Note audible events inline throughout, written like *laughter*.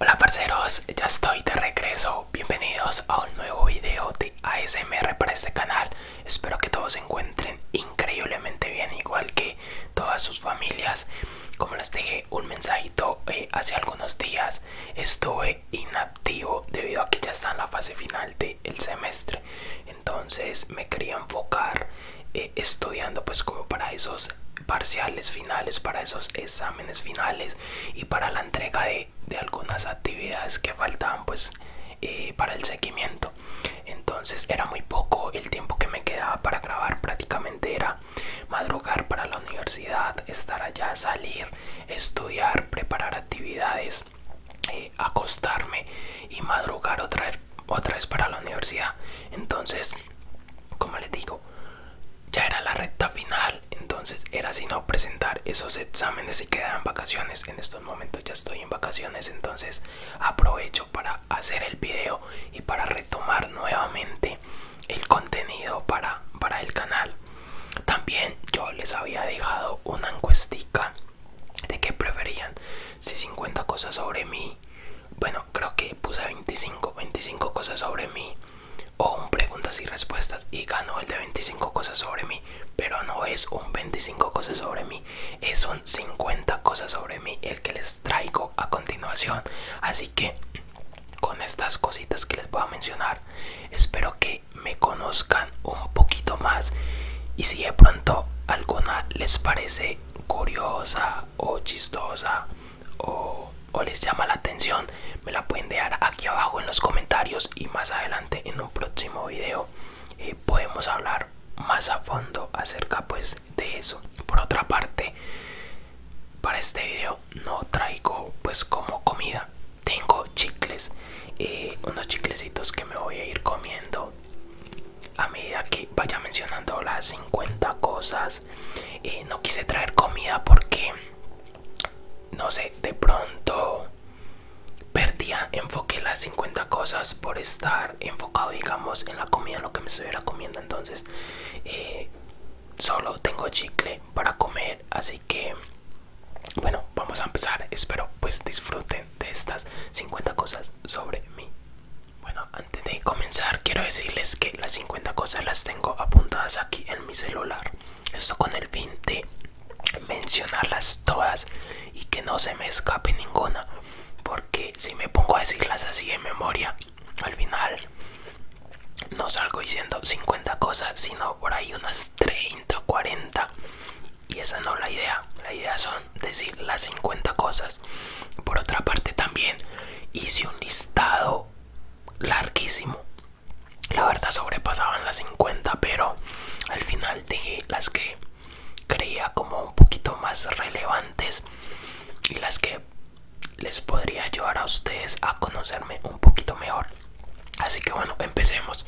Hola parceros, ya estoy de regreso. Bienvenidos a un nuevo video de ASMR para este canal. Espero que todos se encuentren increíblemente bien, igual que todas sus familias. Como les dejé un mensajito eh, hace algunos días, estuve inactivo debido a que ya está en la fase final de el semestre. Entonces me quería enfocar eh, estudiando pues como para esos parciales finales, para esos exámenes finales y para la entrega de, algunas actividades que faltaban pues eh, para el seguimiento. Entonces era muy poco el tiempo que me quedaba para grabar, prácticamente era madrugar para la universidad, estar allá, salir, estudiar, preparar actividades, eh, acostarme y madrugar otra vez, otra vez para la universidad. Entonces, como les digo, ya era la recta final, entonces era sino presentar esos exámenes y quedar en vacaciones. En estos momentos ya estoy en vacaciones, entonces aprovecho para hacer el video y para retomar nuevamente el contenido para, para el canal. También yo les había dejado una encuestica de qué preferían, si 50 cosas sobre mí, bueno, creo que puse 25, 25 cosas sobre mí o un preguntas y respuestas y ganó el de 25 cosas sobre mí pero no es un 25 cosas sobre mí es un 50 cosas sobre mí el que les traigo a continuación así que con estas cositas que les voy a mencionar espero que me conozcan un poquito más y si de pronto alguna les parece curiosa o chistosa o, les llama la atención me la pueden dejar aquí abajo en los comentarios y más adelante en un próximo video eh, podemos hablar más a fondo acerca pues de eso por otra parte para este video no traigo pues como comida tengo chicles eh, unos chiclecitos que me voy a ir comiendo a medida que vaya mencionando las 50 cosas y eh, no quise traer comida porque, no sé, de pronto perdía enfoque las 50 cosas por estar enfocado, digamos, en la comida, lo que me estuviera comiendo. Entonces, eh, solo tengo chicle para comer, así que, bueno, vamos a empezar. Espero pues disfruten de estas 50 cosas sobre mí. Bueno, antes de comenzar, quiero decirles que las 50 cosas las tengo apuntadas aquí en mi celular. Esto con el fin de mencionarlas todas y que no se me escape ninguna. Porque si me pongo a decirlas así de memoria, al final no salgo diciendo 50 cosas, sino por ahí unas 30, 40. Y esa no es la idea. La idea son decir las 50 cosas. Por otra parte también hice un listado larguísimo. La verdad sobrepasaban las 50, pero al final dejé las que creía como un poquito más relevantes y las que les podría ayudar a ustedes a conocerme un poquito mejor. Así que bueno, empecemos.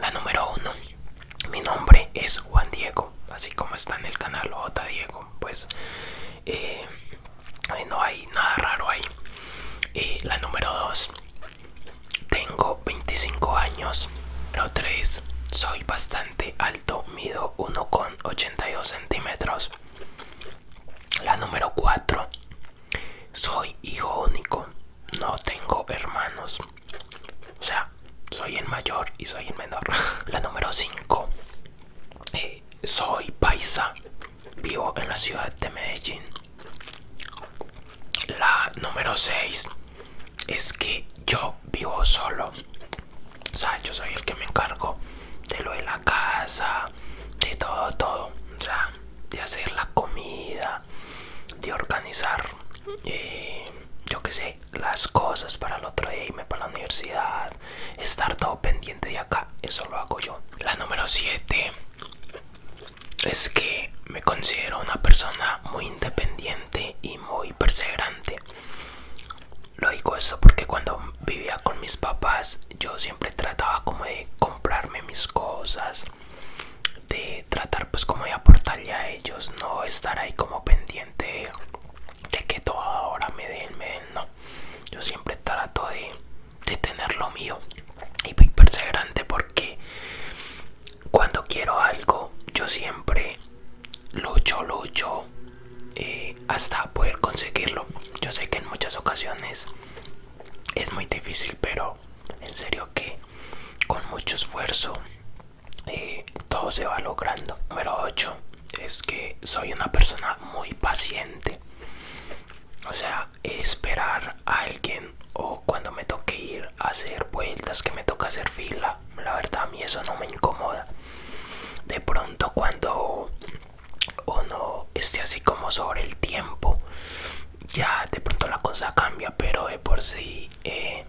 La número uno. Mi nombre es Juan Diego, así como está en el canal J Diego. Pues eh, no hay nada raro ahí eh, la número 2 tengo 25 años número 3 soy bastante alto mido 1,82 centímetros la número 4 soy hijo único no tengo hermanos o sea soy el mayor y soy el menor *laughs* la número 5 eh, soy paisa Vivo en la ciudad de Medellín. La número 6 es que yo vivo solo. O sea, yo soy el que me encargo de lo de la casa, de todo, todo. O sea, de hacer la comida, de organizar, eh, yo qué sé, las cosas para el otro día, irme para la universidad estar todo pendiente de acá eso lo hago yo la número 7 es que me considero una persona muy independiente y muy perseverante lo digo eso porque cuando vivía con mis papás yo siempre trataba como de comprarme mis cosas de tratar pues como de aportarle a ellos no estar ahí como pendiente de, que todo ahora me den me den no yo siempre trato de de tener lo mío y perseverante porque cuando quiero algo yo siempre lucho lucho eh, hasta poder conseguirlo yo sé que en muchas ocasiones es muy difícil pero en serio que con mucho esfuerzo eh, todo se va logrando número 8 es que soy una persona muy paciente o sea esperar a alguien o cuando me toque ir a hacer vueltas que me toca hacer fila la verdad a mí eso no me incomoda de pronto cuando uno esté así como sobre el tiempo ya de pronto la cosa cambia pero de por sí eh,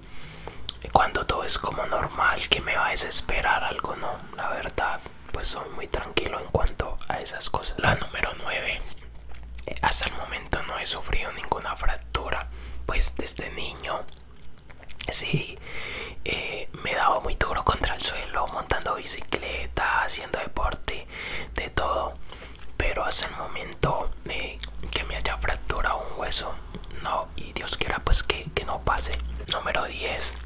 cuando todo es como normal que me va a desesperar algo no la verdad pues soy muy tranquilo en cuanto a esas cosas. La número 9. Hasta el momento no he sufrido ninguna fractura, pues desde niño sí eh, me he dado muy duro contra el suelo, montando bicicleta, haciendo deporte, de todo. Pero hasta el momento eh, que me haya fracturado un hueso, no, y Dios quiera pues que, que no pase. Número 10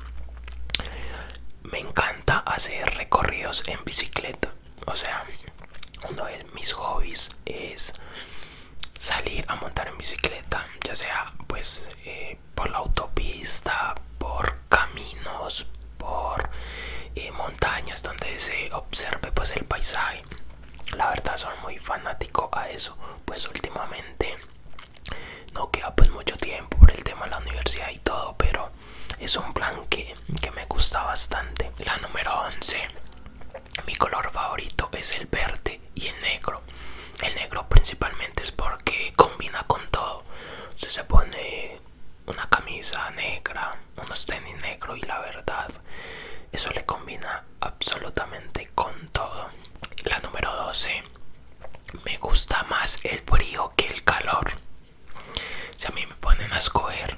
me encanta hacer recorridos en bicicleta. O sea, uno de mis hobbies es salir a montar en bicicleta, ya sea pues eh, por la autopista, por caminos, por eh, montañas donde se observe pues el paisaje. La verdad soy muy fanático a eso, pues últimamente no queda pues mucho tiempo por el tema de la universidad y todo, pero es un blanque que, me gusta bastante. La número 11. Mi color favorito es el verde y el negro. El negro principalmente es porque combina con todo. Si se pone una camisa negra, unos tenis negros y la verdad, eso le combina absolutamente con todo. La número 12. Me gusta más el frío que el calor. Si a mí me ponen a escoger,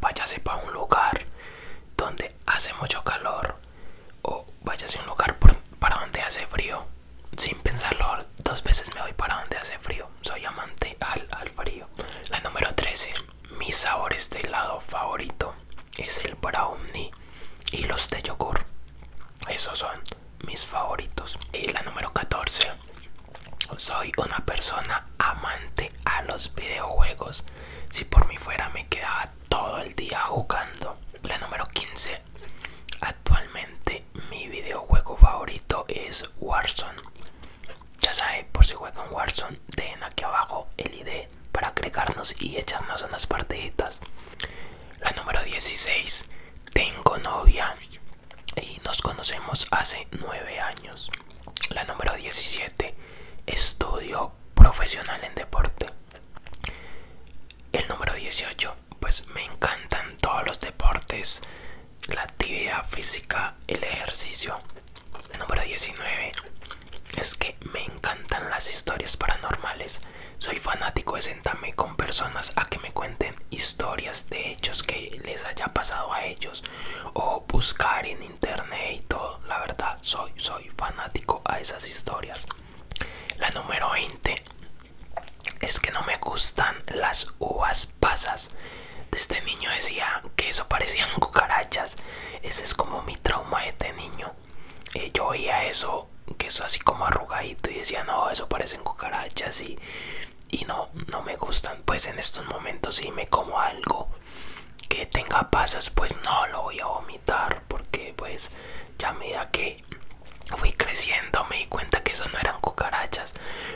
váyase para un lugar donde hace mucho calor o váyase a un lugar para donde hace frío. Sin pensarlo, dos veces me voy para donde hace frío. Soy amante al, frío. La número 13. Mi sabor de este helado favorito es el brownie y los de yogur. Esos son mis favoritos. Y la número 14. Soy una persona amante a los videojuegos. Si por mí fuera me quedaba todo el día jugando. La número 15. Actualmente mi videojuego favorito es Warzone. Ya saben, por si juegan Warzone, dejen aquí abajo el ID para agregarnos y echarnos unas partiditas. La número 16. Tengo novia y nos conocemos hace 9 años. La número 17, estudio profesional en deporte. El número 18, pues me encantan todos los deportes, la actividad física, el ejercicio. El número 19, es que me encantan las historias paranormales. Soy fanático de sentarme con personas a que me cuenten historias de hechos que les haya pasado a ellos o buscar en internet y todo. La verdad, soy, soy fanático a esas historias. La número 20 es que no me gustan las uvas pasas. este niño decía que eso parecían *laughs* cucarachas. Ese es como mi trauma de este niño. Eh, yo oía eso, que eso así como arrugadito, y decía, no, eso parecen cucarachas. Y y no, me gustan. Pues en estos momentos si me como algo que tenga pasas, pues no lo voy a vomitar porque pues ya me da que fui creciendo me di cuenta que eso no eran cucarachas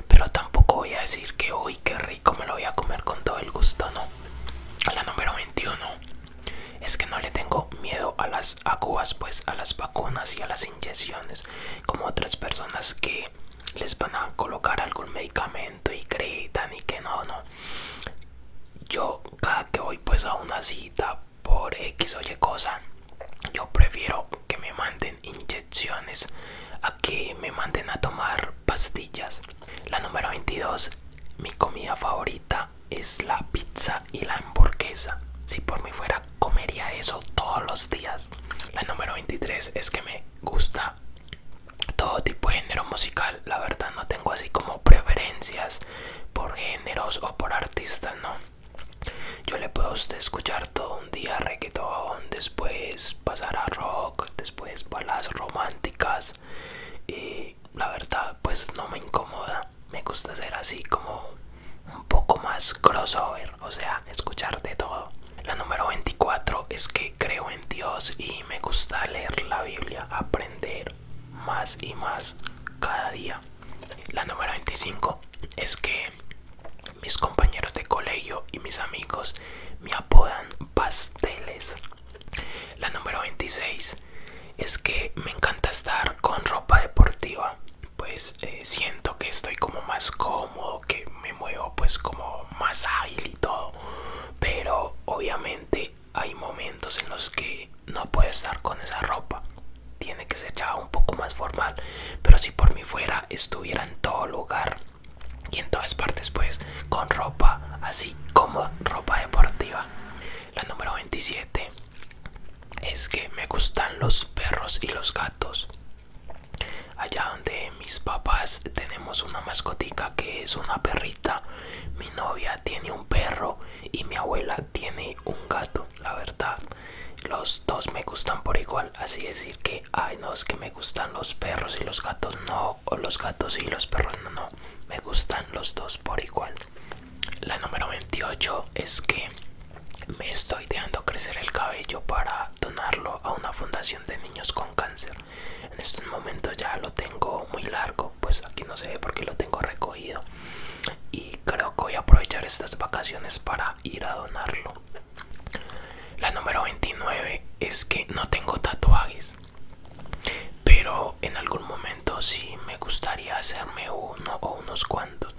pero tampoco voy a decir que uy qué rico me lo voy a comer con todo el gusto no a la número 21 es que no le tengo miedo a las aguas pues a las vacunas y a las inyecciones como otras personas que les van a colocar algún medicamento y gritan y que no, no. Yo cada que voy pues a una cita por X o Y cosa, yo prefiero que me manden inyecciones a que me manden a tomar pastillas. La número 22, mi comida favorita es la pizza y la hamburguesa. Si por mí fuera comería eso todos los días. La número 23 es que me gusta todo tipo de género musical. La verdad no tengo así como preferencias por géneros o por artistas, no. Yo le puedo escuchar todo un día reggaetón, después pasar a rock, después balas románticas y la verdad pues no me incomoda. Me gusta ser así como un poco más crossover, o sea, escuchar de todo. La número 24 es que creo en Dios y me gusta leer la Biblia, aprender más y más cada día. La número 25 es que mis compañeros de colegio y mis amigos me apodan pasteles. La número 26 es que me encanta estar con ropa deportiva pues eh, siento que estoy como más cómodo, que me muevo pues como más ágil y todo. Pero obviamente hay momentos en los que no puedo estar con esa ropa. Tiene que ser ya un poco más formal. Pero si por mí fuera, estuviera en todo lugar y en todas partes pues con ropa así como ropa deportiva. La número 27 es que me gustan los perros y los gatos. Allá donde mis papás tenemos una mascotica que es una perrita. Mi novia tiene un perro y mi abuela tiene un gato. La verdad, los dos me gustan por igual. Así decir que, ay, no, es que me gustan los perros y los gatos no. O los gatos y los perros no, no. Me gustan los dos por igual. La número 28 es que me estoy dejando crecer el cabello para donarlo a una fundación de niños con cáncer. En este momento ya lo tengo muy largo, pues aquí no se ve qué lo tengo recogido. Y creo que voy a aprovechar estas vacaciones para ir a donarlo. La número 29 es que no tengo tatuajes. Pero en algún momento sí me gustaría hacerme uno o unos cuantos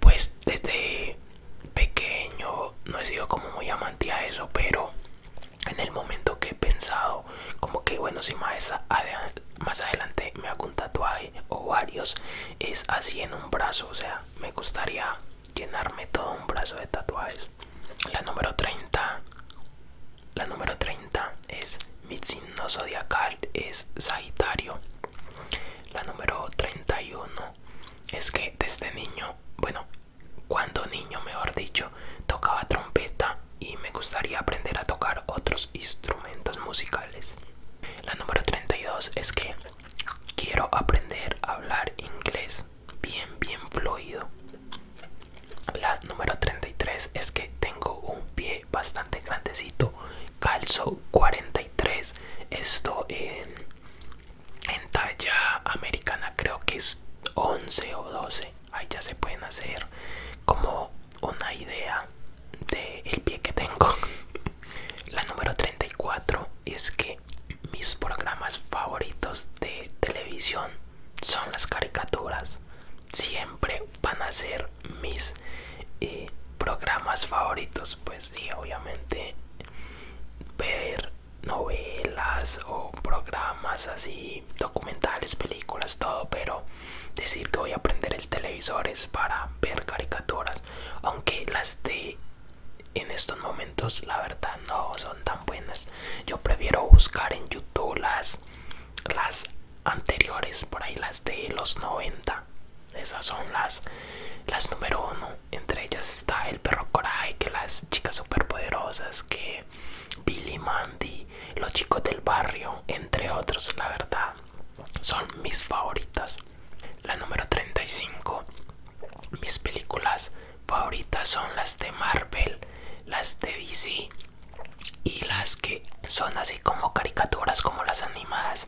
pues desde pequeño no he sido como muy amante a eso, pero en el momento que he pensado, como que bueno, si más, más adelante me hago un tatuaje o varios, es así en un brazo, o sea, me gustaría llenarme todo un brazo de tatuajes. La número 30, la número 30 es mi signo zodiacal, es Sagitario. La número 31 es que desde niño, bueno, cuando niño mejor dicho, tocaba trompeta y me gustaría aprender a tocar otros instrumentos musicales. La número 32 es que quiero aprender a hablar inglés bien, bien fluido. La número 33 es que tengo un pie bastante grandecito, calzo 43. Esto en en talla americana creo que es 11 o 12 ahí ya se pueden hacer como una idea del el pie que tengo *laughs* la número 34 es que mis programas favoritos de televisión son las caricaturas siempre van a ser mis eh, programas favoritos pues sí obviamente ver novelas o programas así, documentales, películas, todo, pero decir que voy a prender el televisor es para ver caricaturas, aunque las de en estos momentos la verdad no son tan buenas. Yo prefiero buscar en YouTube las anteriores, por ahí las de los 90. Esas son las las número uno entre ellas está el perro Coraje, que las chicas superpoderosas, que Billy Mandy, los chicos del barrio, entre otros, la verdad, son mis favoritas. La número 35. Mis películas favoritas son las de Marvel, las de DC y las que son así como caricaturas como las animadas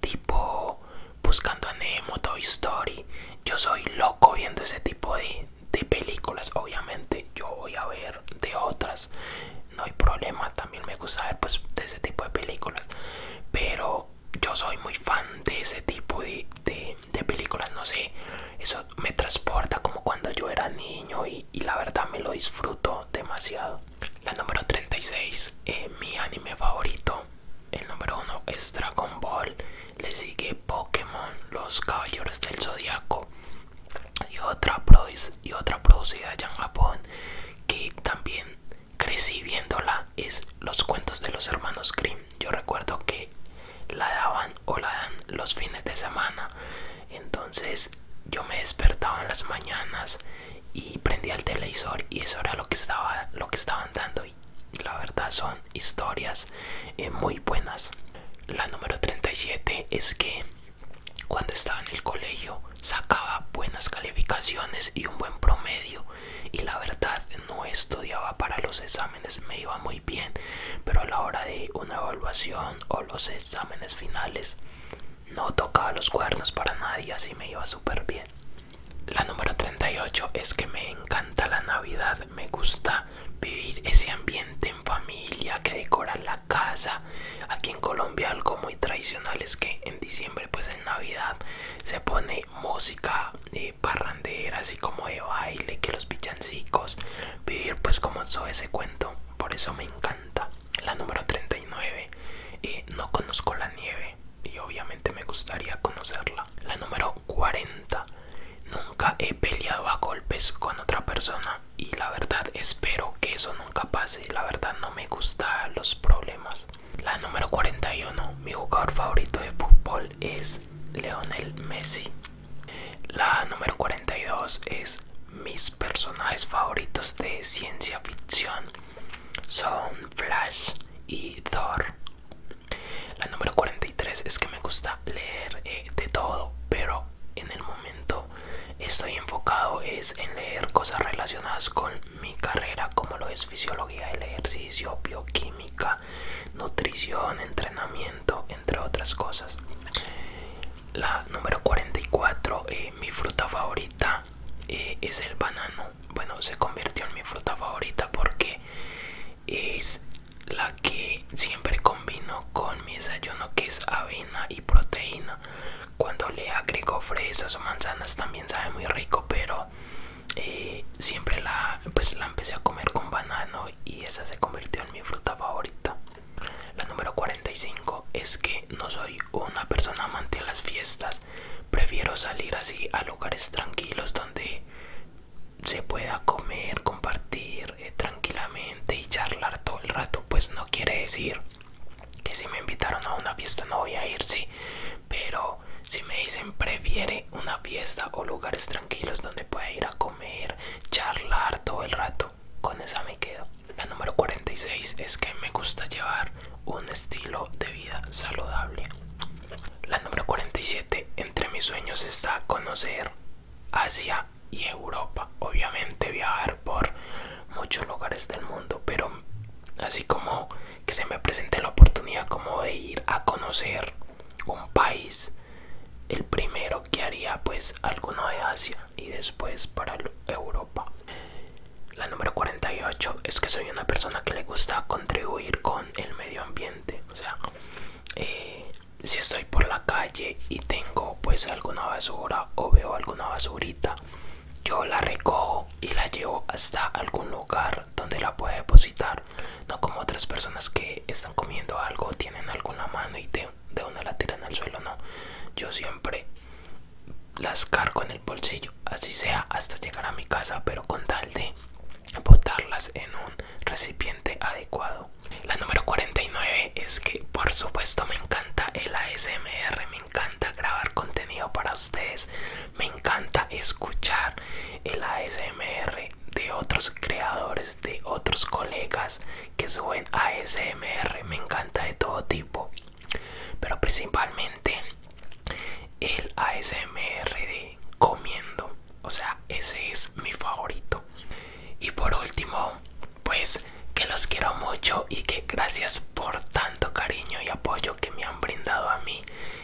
tipo buscando a Nemo, Toy Story. Yo soy loco viendo ese tipo de, películas. Obviamente yo voy a ver de otras. No hay problema. También me gusta ver pues, de ese tipo de películas. Pero yo soy muy fan de ese tipo de, películas. No sé. Eso me transporta como cuando yo era niño y, la verdad me lo disfruto demasiado. La número 36. Eh, mi anime favorito el número uno es Dragon Ball. Le sigue Pokémon, Los Caballeros del Zodiaco. Y otra, y otra producida ya en Japón que también crecí viéndola es Los Cuentos de los Hermanos Grimm. Yo recuerdo que la daban o la dan los fines de semana. Entonces yo me despertaba en las mañanas y prendía el televisor y eso era lo que, estaba, lo que estaban dando la verdad son historias eh, muy buenas. La número 37 es que cuando estaba en el colegio sacaba buenas calificaciones y un buen promedio y la verdad no estudiaba para los exámenes, me iba muy bien, pero a la hora de una evaluación o los exámenes finales no tocaba los cuernos para nadie, así me iba súper bien. La número 38 es que me encanta la Navidad, me gusta vivir ese ambiente en familia que decora la casa. Aquí en Colombia algo muy tradicional es que en diciembre, pues en Navidad, se pone música y eh, parrandera, así como de baile, que los pichancicos, vivir pues como todo ese cuento, por eso me encanta. La número 39, eh, no conozco la nieve y obviamente me gustaría conocerla. La número 40. Nunca he peleado a golpes con otra persona y la verdad espero que eso nunca pase. La verdad no me gustan los problemas. La número 41. Mi jugador favorito de fútbol es Leonel Messi. La número 42 es mis personajes favoritos de ciencia ficción son Flash y Thor. La número 43 es que me gusta leer eh, de todo, pero en el momento estoy enfocado es en leer cosas relacionadas con mi carrera, como lo es fisiología del ejercicio, bioquímica, nutrición, entrenamiento, entre otras cosas. La número 44, eh, mi fruta favorita eh, es el banano bueno, se convirtió en mi fruta favorita porque es la que siempre combino con mi desayuno que es avena y proteína. Cuando le agrego fresas o manzanas también sabe muy rico, pero eh, siempre la, pues, la empecé a comer con banano y esa se convirtió en mi fruta favorita. La número 45 es que no soy una persona amante de las fiestas Prefiero salir así a lugares tranquilos donde se pueda comer, compartir eh, tranquilamente y charlar todo el rato. Pues no quiere decir que si me invitaron a una fiesta no voy a ir, sí. Pero si me dicen prefiere una fiesta o lugares tranquilos donde pueda ir a comer, charlar todo el rato, con esa me quedo. La número 46 es que me gusta llevar un estilo de vida saludable. La número 47. Entre mis sueños está conocer Asia y Europa. Obviamente viajar por muchos lugares del mundo, pero así como que se me presente la oportunidad como de ir a conocer un país, el primero que haría pues alguno de Asia y después para Europa. La número 48 es que soy una persona que le gusta conocer contribuir con el medio ambiente o sea eh, si estoy por la calle y tengo pues alguna basura o veo alguna basurita yo la recojo y la llevo hasta algún lugar donde la pueda depositar no como otras personas que están comiendo algo tienen algo en la mano y de una la tiran al suelo no yo siempre las cargo en el bolsillo así sea hasta llegar a mi casa pero con tal de botarlas en un recipiente adecuado. La número 49 es que por supuesto me encanta el ASMR, me encanta grabar contenido para ustedes, me encanta escuchar el ASMR de otros creadores, de otros colegas que suben ASMR, me encanta de todo tipo, pero principalmente el ASMR de comiendo o sea ese es mi favorito y por último pues que los quiero mucho y que gracias por tanto cariño y apoyo que me han brindado a mí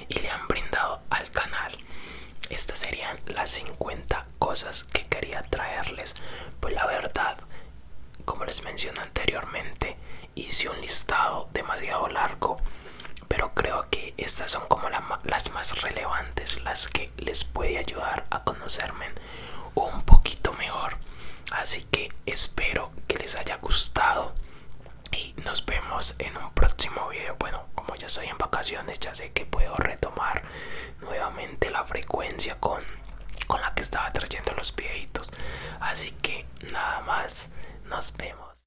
y le han brindado al canal estas serían las 50 cosas que quería traerles pues la verdad como les mencioné anteriormente hice un listado demasiado largo pero creo que estas son como las más relevantes, las que les puede ayudar a conocerme un poquito mejor. Así que espero que les haya gustado y nos vemos en un próximo video. Bueno, como ya estoy en vacaciones, ya sé que puedo retomar nuevamente la frecuencia con, con la que estaba trayendo los videitos. Así que nada más, nos vemos.